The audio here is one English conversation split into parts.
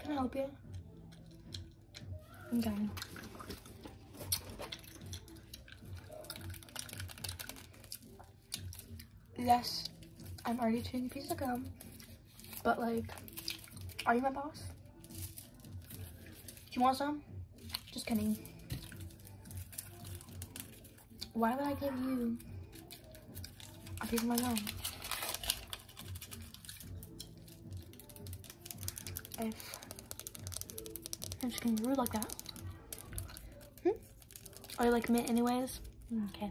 Can I help you? I'm done. Yes, I'm already chewing a piece of gum, but like, are you my boss? Do you want some? Just kidding. Why would I give you a piece of my gum? I'm just going getting rude like that. Hmm? Are you like mint anyways? Mm, okay.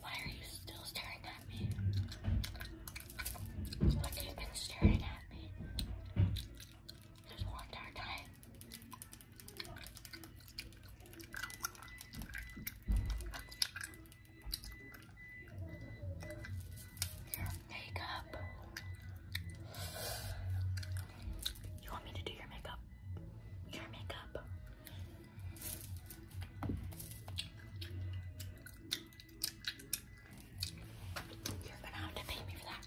Why are you still staring at me? What have you been staring at me this whole entire time? Makeup. You want me to do your makeup? Your makeup. You're gonna have to pay me for that.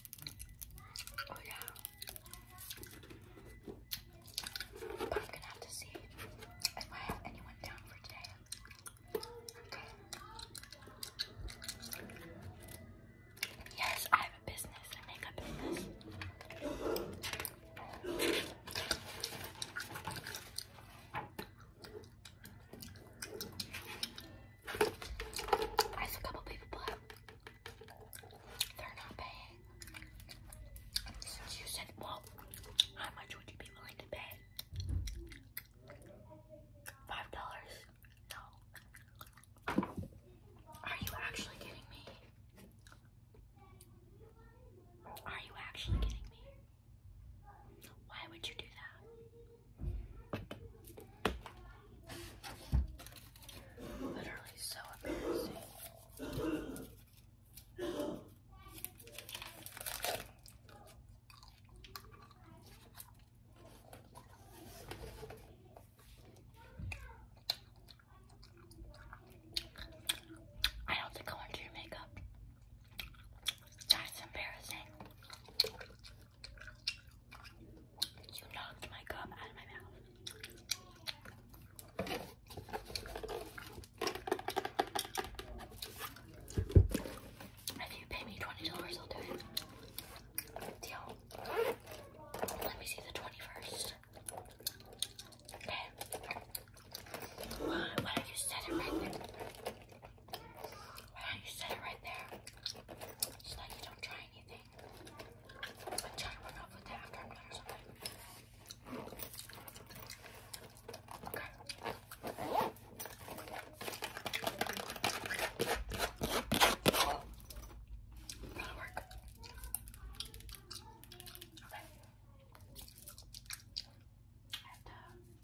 Oh yeah. I'm gonna have to see if I have anyone down for today. Yes, I have a business. I make a business. There's a couple people, they're not paying. Since you said, well, how much would you be willing to pay? Five dollars? No. Are you actually kidding me? Are you actually kidding me? Why would you do that? Literally so embarrassing. I don't think I your makeup. That's embarrassing. You knocked my gum out of my mouth. If you pay me $20, I'll do it. Deal. Let me see the 21st. Okay. Why, why you set it right why don't you set it right there so that you don't try anything? I'm to run off with that after I'm done or something. Okay. That'll work. Okay. I have to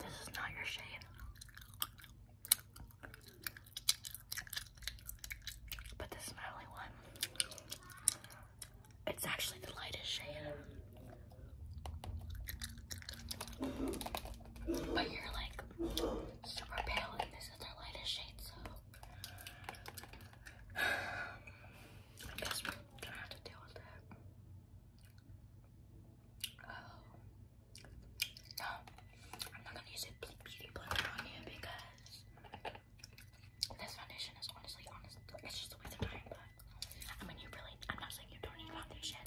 This is not your shade. But this is my only one. It's actually the lightest shade. But you're like super pale and this is their lightest shade, so I guess have to deal with it. Um, no, I'm not gonna use a beauty blender on you because this foundation is honestly, honestly, it's just a waste of time. But I mean, you really, I'm not saying you don't need foundation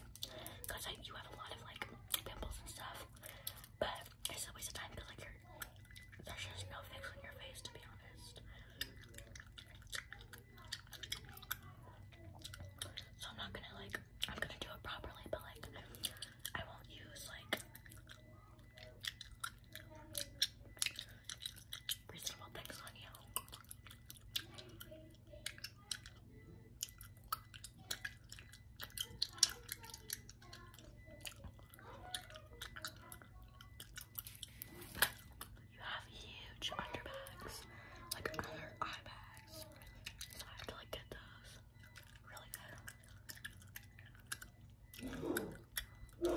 because like, you have a lot of like pimples and stuff, but it's a waste of time because like there's just no fix on your face to be honest. So I'm not gonna like, I'm gonna do it properly, but like, I won't use like reasonable things on you. You have huge underbags, like under eye bags. So I have to like get those. Really good.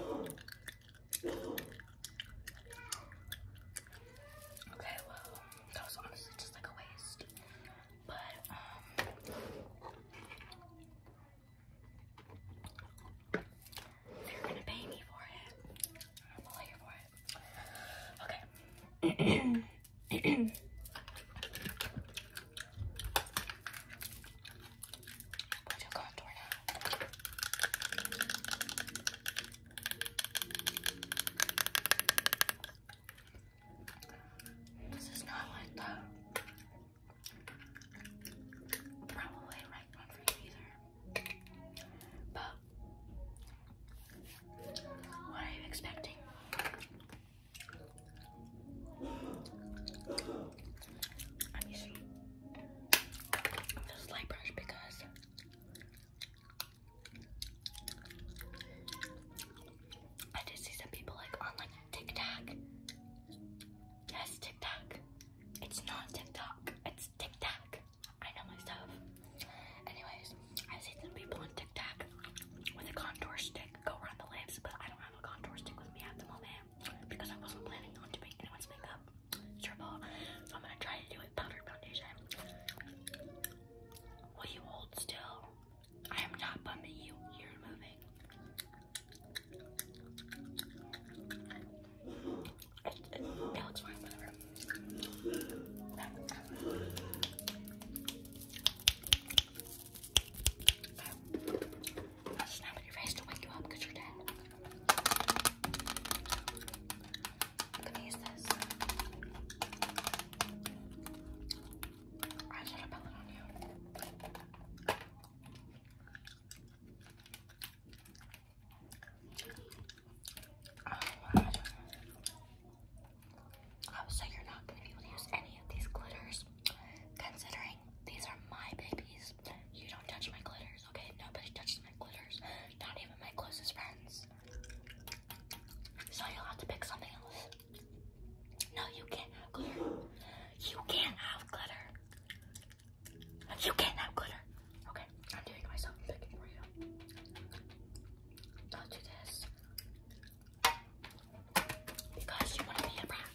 Okay, well, that was honestly just like a waste. But um if you're gonna pay me for it, I'm all here for it. Okay. Put your contour now. This is not like that. Probably right one for you either. But what are you expecting? I'm using this light brush because I did see some people like on like TikTok Yes, Tic It's not TikTok. It's Tic Tac. I know my stuff. Anyways, I've some people on Tic with a contour stick go around the lips, but I don't have a contour stick with me at the moment because I wasn't planning on doing anyone's makeup. Triple. I'm gonna try to do it powdered foundation. Will you hold still? I am not bumming you. You're moving. It, looks fine, whatever. I'll snap in your face to wake you up because you're dead. i use this. I should have it on you. Oh, so you're not going to be able to use any of these glitters, considering these are my babies. You don't touch my glitters, okay? Nobody touches my glitters, not even my closest friends. So you'll have to pick something else. No, you can't You can't have glitter. You can't have glitter. Okay, I'm doing it myself. I'm picking for you. Don't do this. Because you want to be a brat.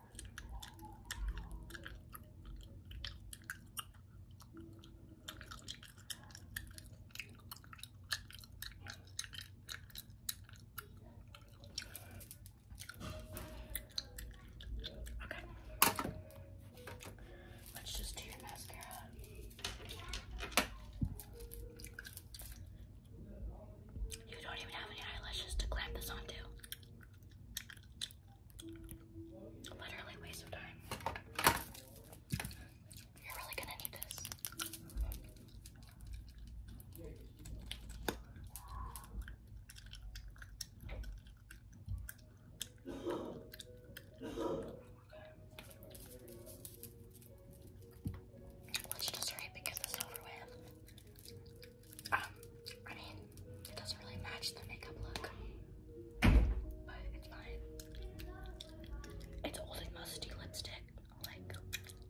Okay. Let's just do your mascara. You don't even have any eyelashes to clamp this onto. Literally waste of time. You're really gonna need this. Let's just hurry because it's over with. Um, it's old and musty lipstick. Like,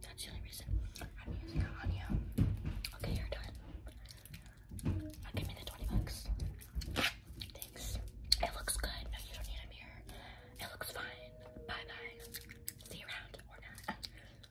that's the only reason I'm using it on you. Okay, you're done. Uh, give me the 20 bucks. Thanks. It looks good. No, you don't need a mirror. It looks fine. Bye bye. See you around